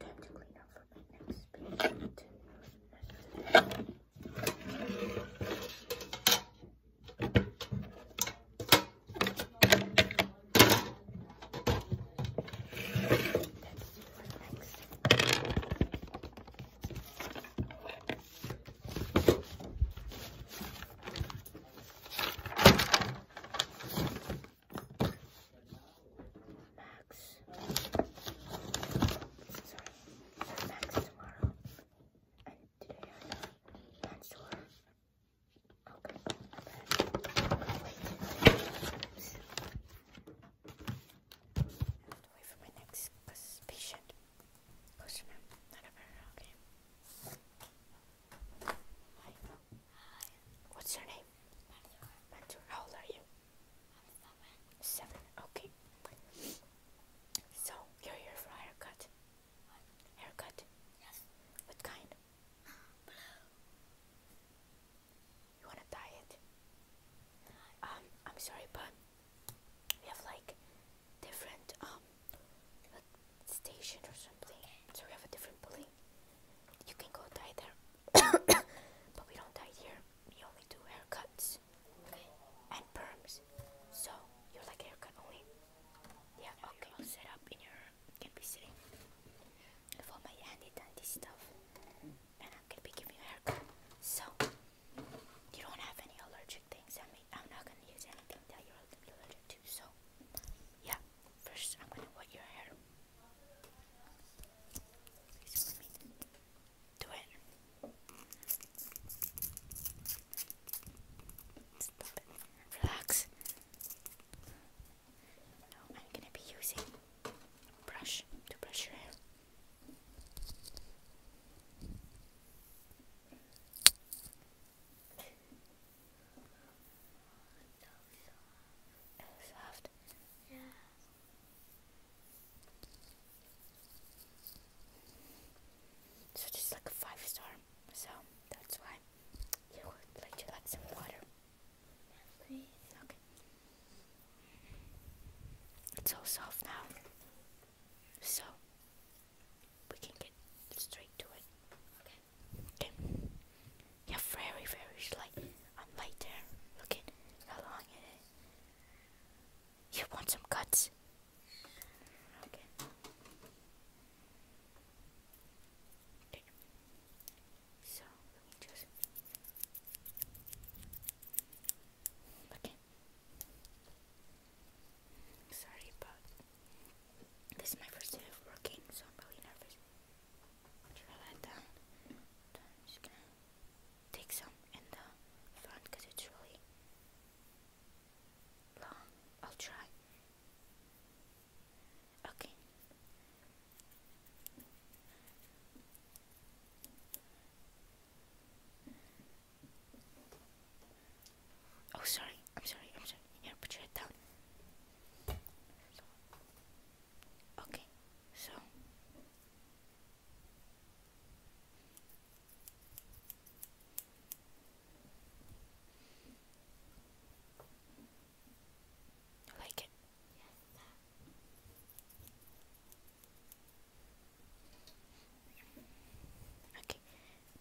Time to clean up for my next patient. Let's do Max. Sorry, Max tomorrow. today I have plans to I'm back. Wait. for my next patient. Customer, not a very okay. What's your name? Mantur. Mantur. How old are you? seven. Seven. Okay. So you're here for a haircut. Haircut. Yes. What kind? Blue. You wanna dye it? Um, I'm sorry, but we have like different um station or something. So we have a different building. You can go die there. but we don't die here. We only do haircuts. Okay. And perms. So you like haircut only. Yeah, okay. I'll set up in your can be sitting with all my handy dandy stuff. And I'm gonna be giving you a haircut. So you don't have any allergic things. I mean I'm not gonna use anything that you're allergic to, so yeah. First, I'm gonna wet your hair. do it. Relax. I'm gonna be using brush to brush your hair soft. So this like a five star. So that's why you would like to like some water. Okay. It's all soft now. So we can get straight to it. Okay. Okay. Yeah, very, very slight. I'm right there. Look at how You want some cuts? Okay. Okay. So, let me just... Okay. Sorry, but this is my first day of working, so I'm really nervous. Draw that down. I'm just gonna take some in the front because it's really long. I'll try. Okay. Oh, sorry. I'm sorry. I'm sorry. Here, put your head down. Okay. So. I like it. Okay,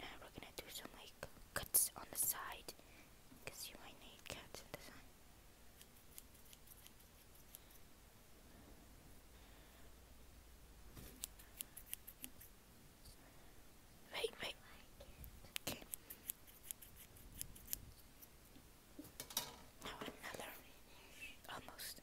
now we're gonna do some like cuts on the side because you might need cuts in the side. Wait, wait. Okay. Now another. Almost.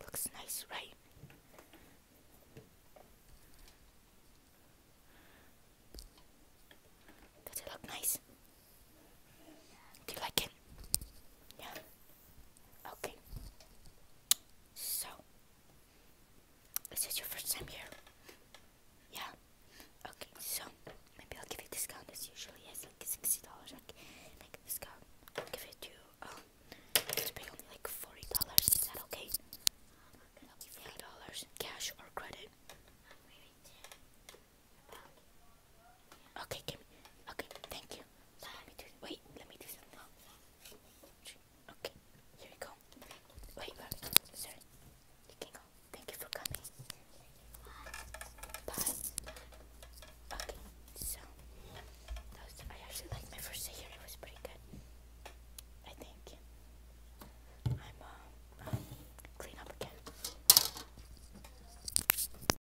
Looks nice, right? Does it look nice? Do you like it? Yeah. Okay. So, is your first time here? Yeah. Okay, so maybe I'll give you a discount. As usually has like sixty dollars. Like, like discount. give it to you. Um, it's only like forty dollars. Is that okay? Forty dollars, cash or credit? Okay, give me. Okay, thank you let me do. Wait, let me do something. Okay, here we go. Wait, sorry. You can go. Thank you for coming. Bye. Okay, so I actually liked my first day here. It was pretty good. I think. I'm uh, um, up again.